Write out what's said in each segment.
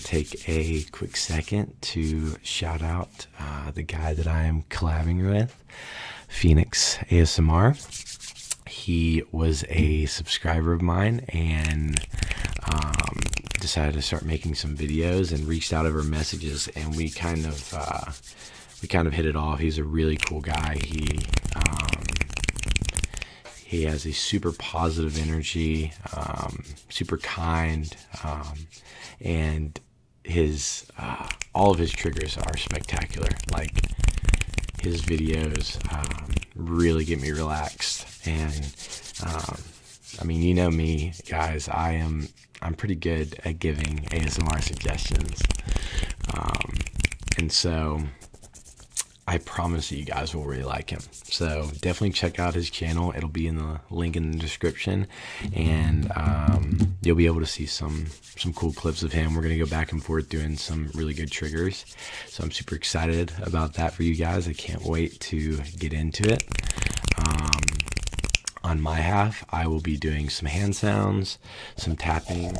take a quick second to shout out uh, the guy that I am collabing with, Phoenix ASMR. He was a subscriber of mine and um, decided to start making some videos and reached out over messages, and we kind of uh, we kind of hit it off. He's a really cool guy. He um, he has a super positive energy, um, super kind, um, and his uh, all of his triggers are spectacular. Like his videos um, really get me relaxed, and I mean, you know me, guys. I am I'm pretty good at giving ASMR suggestions, and so I promise you guys will really like him. So definitely check out his channel. It'll be in the link in the description, and um, you'll be able to see some some cool clips of him. We're gonna go back and forth doing some really good triggers. So I'm super excited about that for you guys. I can't wait to get into it. Um, on my half, I will be doing some hand sounds, some tapping,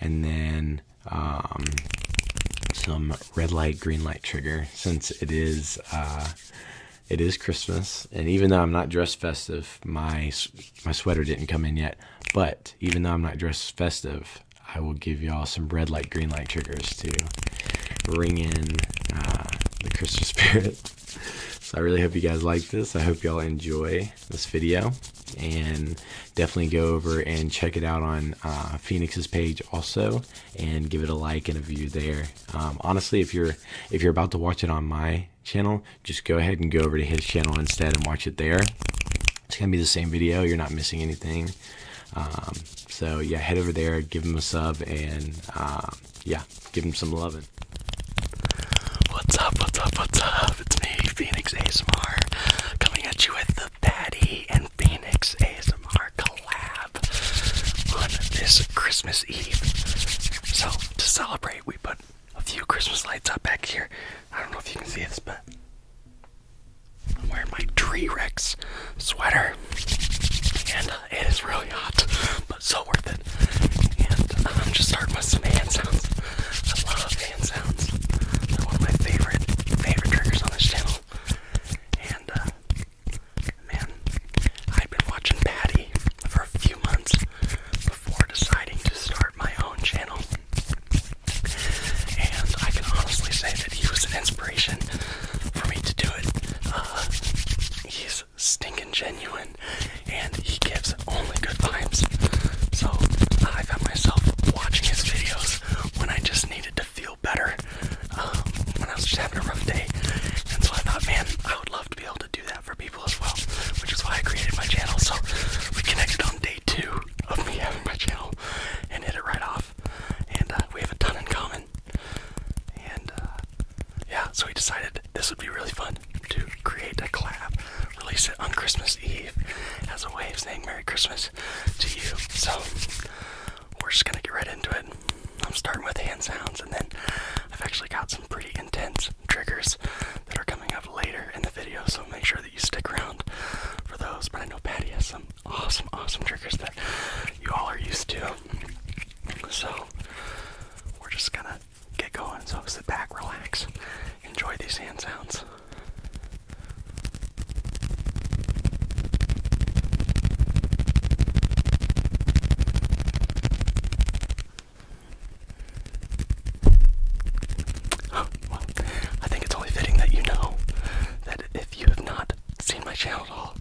and then um, some red light, green light trigger since it is uh, it is Christmas, and even though I'm not dressed festive, my my sweater didn't come in yet. But even though I'm not dressed festive, I will give y'all some red light, green light triggers to ring in uh, the Christmas spirit. so I really hope you guys like this. I hope y'all enjoy this video, and definitely go over and check it out on uh, Phoenix's page also and give it a like and a view there. Um, honestly, if you're if you're about to watch it on my channel, just go ahead and go over to his channel instead and watch it there. It's gonna be the same video. You're not missing anything. Um, so yeah, head over there, give him a sub, and um, yeah, give him some loving. What's up? What's up? What's up? It's me, Phoenix ASMR, coming at you with the the and Phoenix ASMR collab on this Christmas Eve. So, to celebrate, we put a few Christmas lights up back here. I don't know if you can see this, but I'm wearing my Tree Rex sweater. And uh, it is really hot, but so worth it. And uh, I'm just starting with some hand sounds. I love sounds. one of my favorite, favorite triggers on this channel. And, uh, man, i have been watching Paddy for a few months before deciding to start my own channel. And I can honestly say that he was an inspiration for me to do it. Uh, he's stinking genuine and he gives only good vibes. So I found myself watching his videos when I just need needed to feel better um, when I was just having a rough day. And so I thought, man, I would love to be able to do that for people as well, which is why I created my channel. So we connected on day two of me having my channel and hit it right off. And uh, we have a ton in common. And uh, yeah, so we decided this would be really fun to create a collab, release it on Christmas Christmas Eve has a way of saying Merry Christmas to you. So we're just gonna get right into it. I'm starting with hand sounds, and then I've actually got some pretty intense triggers that are coming up later in the video, so make sure that you stick around for those. But I know Patty has some awesome, awesome triggers that you all are used to. So we're just gonna get going. So sit back, relax, enjoy these hand sounds well, I think it's only fitting that you know that if you have not seen my channel at all,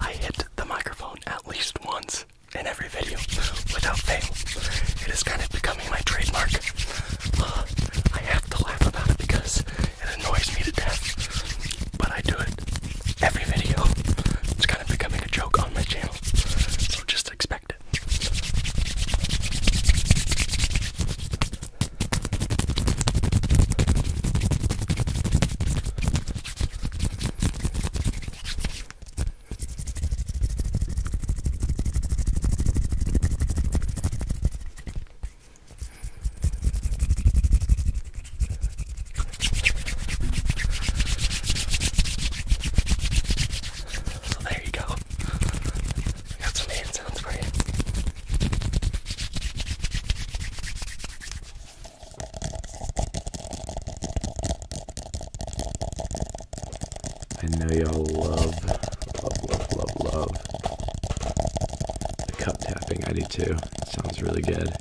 I hit the microphone at least once in every video without fail. It is kind of becoming my trademark. Uh, I have to laugh about it because it annoys me to death. But I do it every video. It's kind of becoming a joke on my channel. So just expect it. So there you go. I got some hand sounds for you. I know y'all love, love, love, love, love the cup tapping, I do too. sounds really good.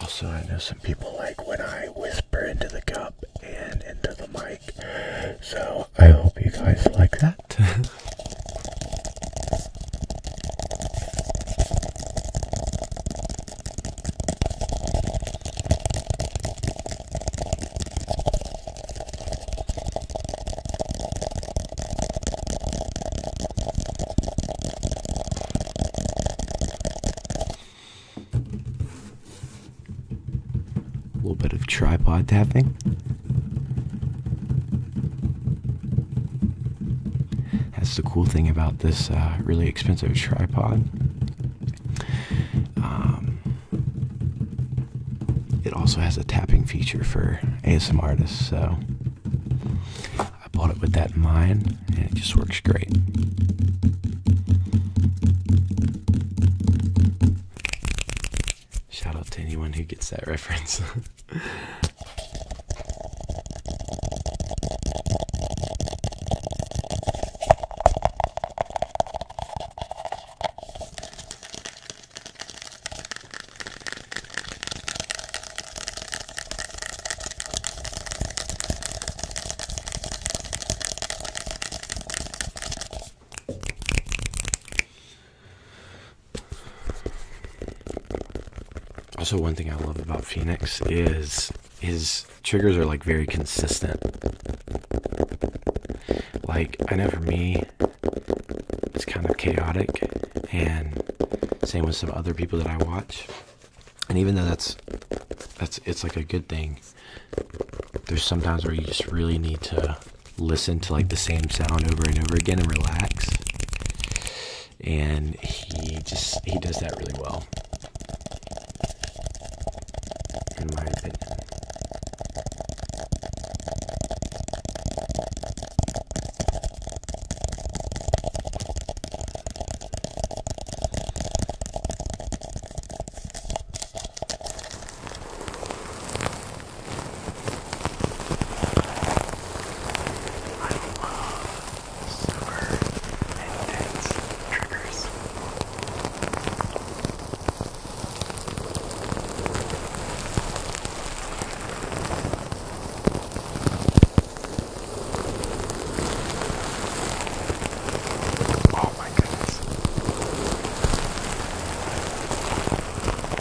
Also, I know some people like when I whisper into the cup and into the mic. So I hope you guys like that. A little bit of tripod tapping. That's the cool thing about this uh, really expensive tripod. Um, it also has a tapping feature for ASMR artists, so I bought it with that in mind, and it just works great. Shout out to anyone who gets that reference. Also, one thing I love about Phoenix is his triggers are like very consistent. Like, I know for me, it's kind of chaotic, and same with some other people that I watch. And even though that's that's it's like a good thing, there's sometimes where you just really need to listen to like the same sound over and over again and relax. And he just he does that really well. In my opinion. I love super intense triggers. Oh my goodness.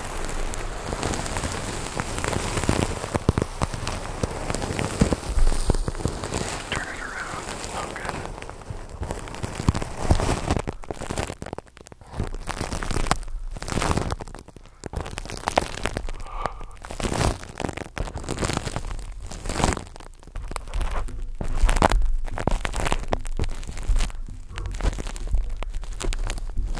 Turn it around, Logan.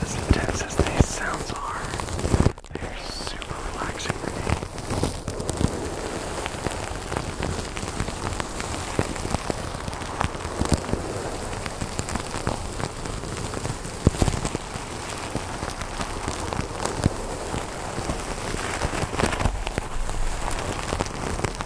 As intense as these sounds are, they're super relaxing for me. It's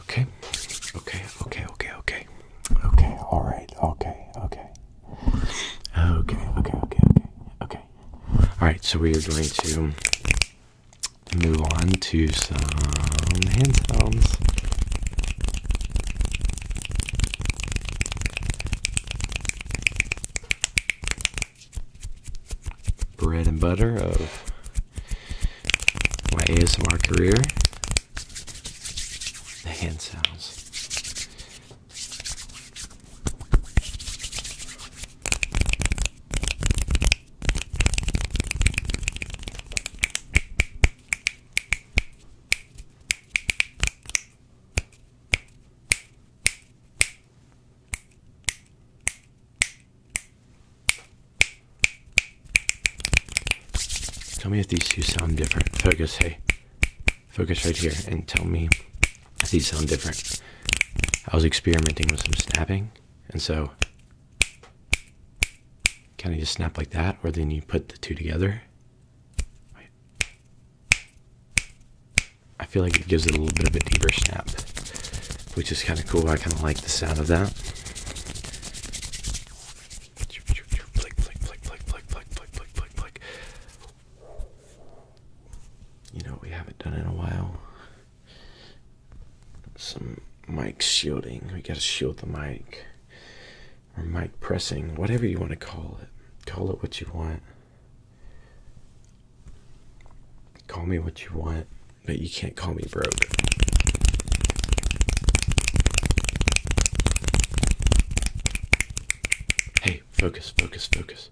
Okay. Okay. Okay. Okay. Okay. Okay. All right. Okay. Okay. Okay. Okay. Okay. Okay. All right. So we are going to move on to some hand sounds bread and butter of my ASMR career the hand sounds. Tell me if these two sound different. Focus, hey. Focus right here and tell me if these sound different. I was experimenting with some snapping, and so kind of just snap like that, or then you put the two together. I feel like it gives it a little bit of a deeper snap which is kind of cool. I kind of like the sound of that. You know, we haven't done in a while. Some mic shielding. We gotta shield the mic. Or mic pressing, whatever you want to call it. Call it what you want. Call me what you want but you can't call me broke. Hey, focus, focus, focus.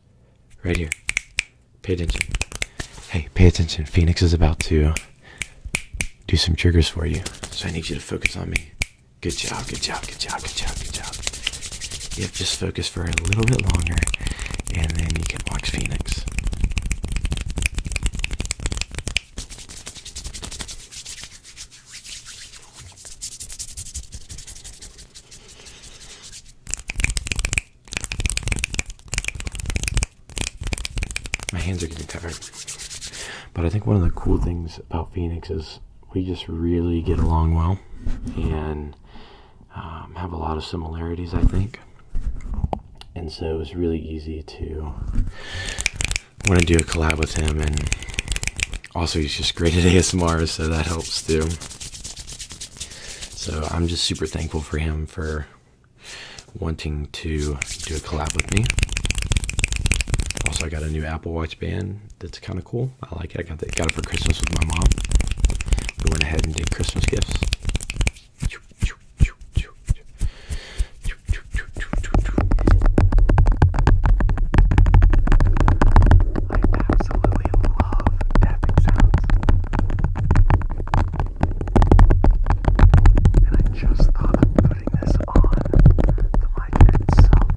Right here. Pay attention. Hey, pay attention. Phoenix is about to uh, do some triggers for you. So I need you to focus on me. Good job, good job, good job, good job, good job. Yep, just focus for a little bit longer and then you can watch Phoenix. My hands are getting tired. But I think one of the cool things about Phoenix is we just really get along well and um, have a lot of similarities, I think and so it was really easy to want to do a collab with him. And also, he's just great at ASMR, so that helps too. So I'm just super thankful for him for wanting to do a collab with me. Also, I got a new Apple Watch band that's kind of cool. I like it. I got, that, got it for Christmas with my mom. We went ahead and did Christmas gifts. I absolutely love tapping sounds. And I just thought of putting this on the mic itself,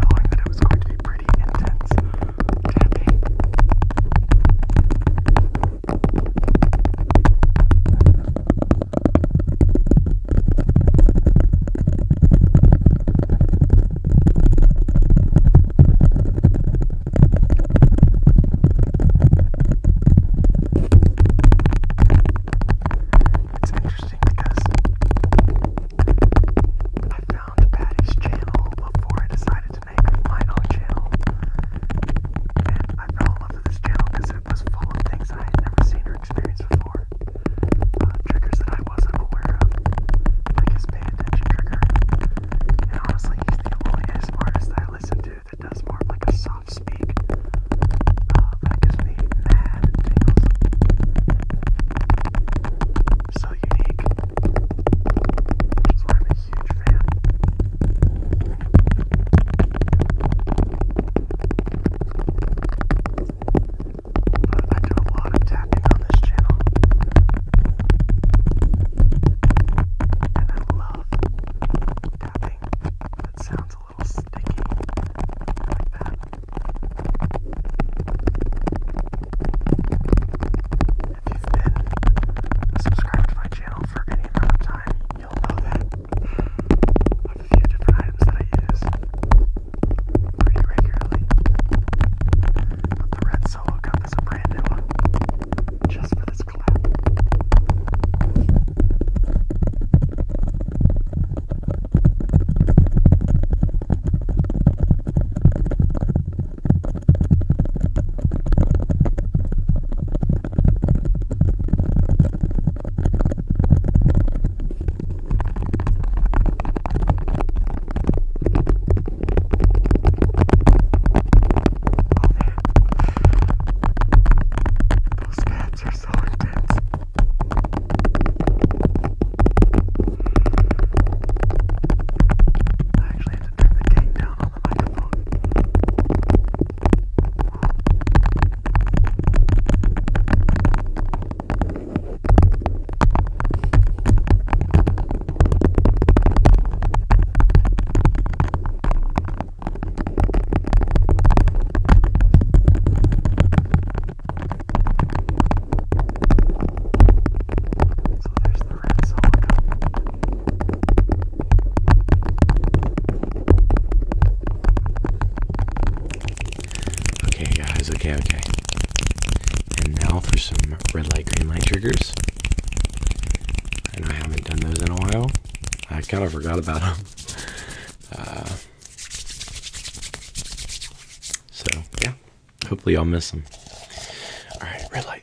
knowing that it was going to be pretty intense tapping. It's interesting because I found Patty's channel before I decided to make my own channel, and I fell in love this channel because it was full of things I had never seen or experienced before. Uh, triggers that I wasn't aware of, like his pay trigger. And honestly, he's the only ASMR artist I listen to that does more like a soft speak. Uh, that gives mad tingles. So unique. Which why I'm a huge fan. I do a lot tapping on this channel. And I love tapping. It sounds a little sticky like that. If you've been subscribed to my channel for any amount of time, you a few different items that I use pretty regularly. But red solo cup is a brand new one, just for this collab. Those fans are so intense. I actually had to turn the gain down on the microphone. So there's the red song. Okay, guys, okay, okay. And now for some red light, green light triggers. And I haven't done those in a while. I kind of forgot about them. Uh, so, yeah. Hopefully, I'll miss them. Alright, red light.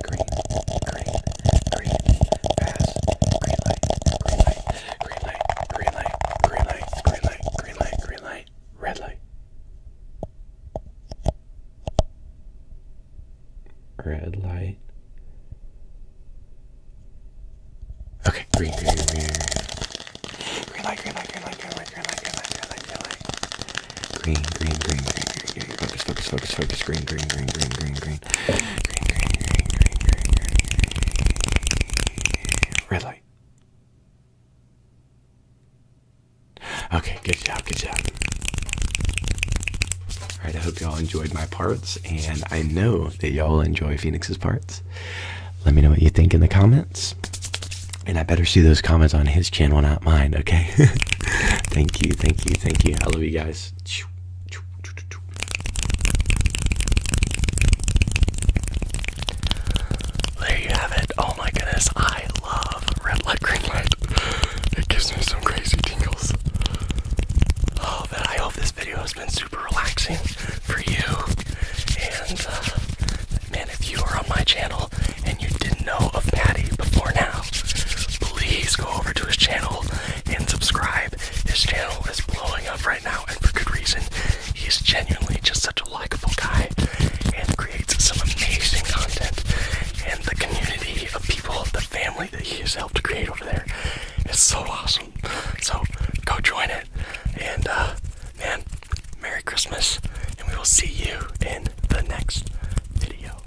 green, green, green, pass, green light, green light, green light, green light, green light, green light, green light, green light, red light. Red light. Okay, green, green, green. Green light, green light, green light, green light, green light, green light, green light, green light, green light. Green, green, green, green, green, okay, focus, focus, focus, focus, green, green, green, green, green, green, green, green, green, green, green, green, red light. Okay, good job, good job. All right, I hope y'all enjoyed my parts, and I know that y'all enjoy Phoenix's parts. Let me know what you think in the comments. And I better see those comments on his channel, not mine, okay? thank you, thank you, thank you. I love you guys. There you have it. Oh my goodness, I love red light, green light. It gives me some crazy tingles. Oh, but I hope this video has been super relaxing for you. And uh, man, if you are on my channel and you didn't know of Paddy before now, please go over to his channel and subscribe. His channel is blowing up right now, and for good reason. He's genuinely just such a likable guy and creates some amazing content. And the community of people, the family that he has helped create over there is so awesome. So go join it. And, uh, Merry Christmas, and we will see you in the next video.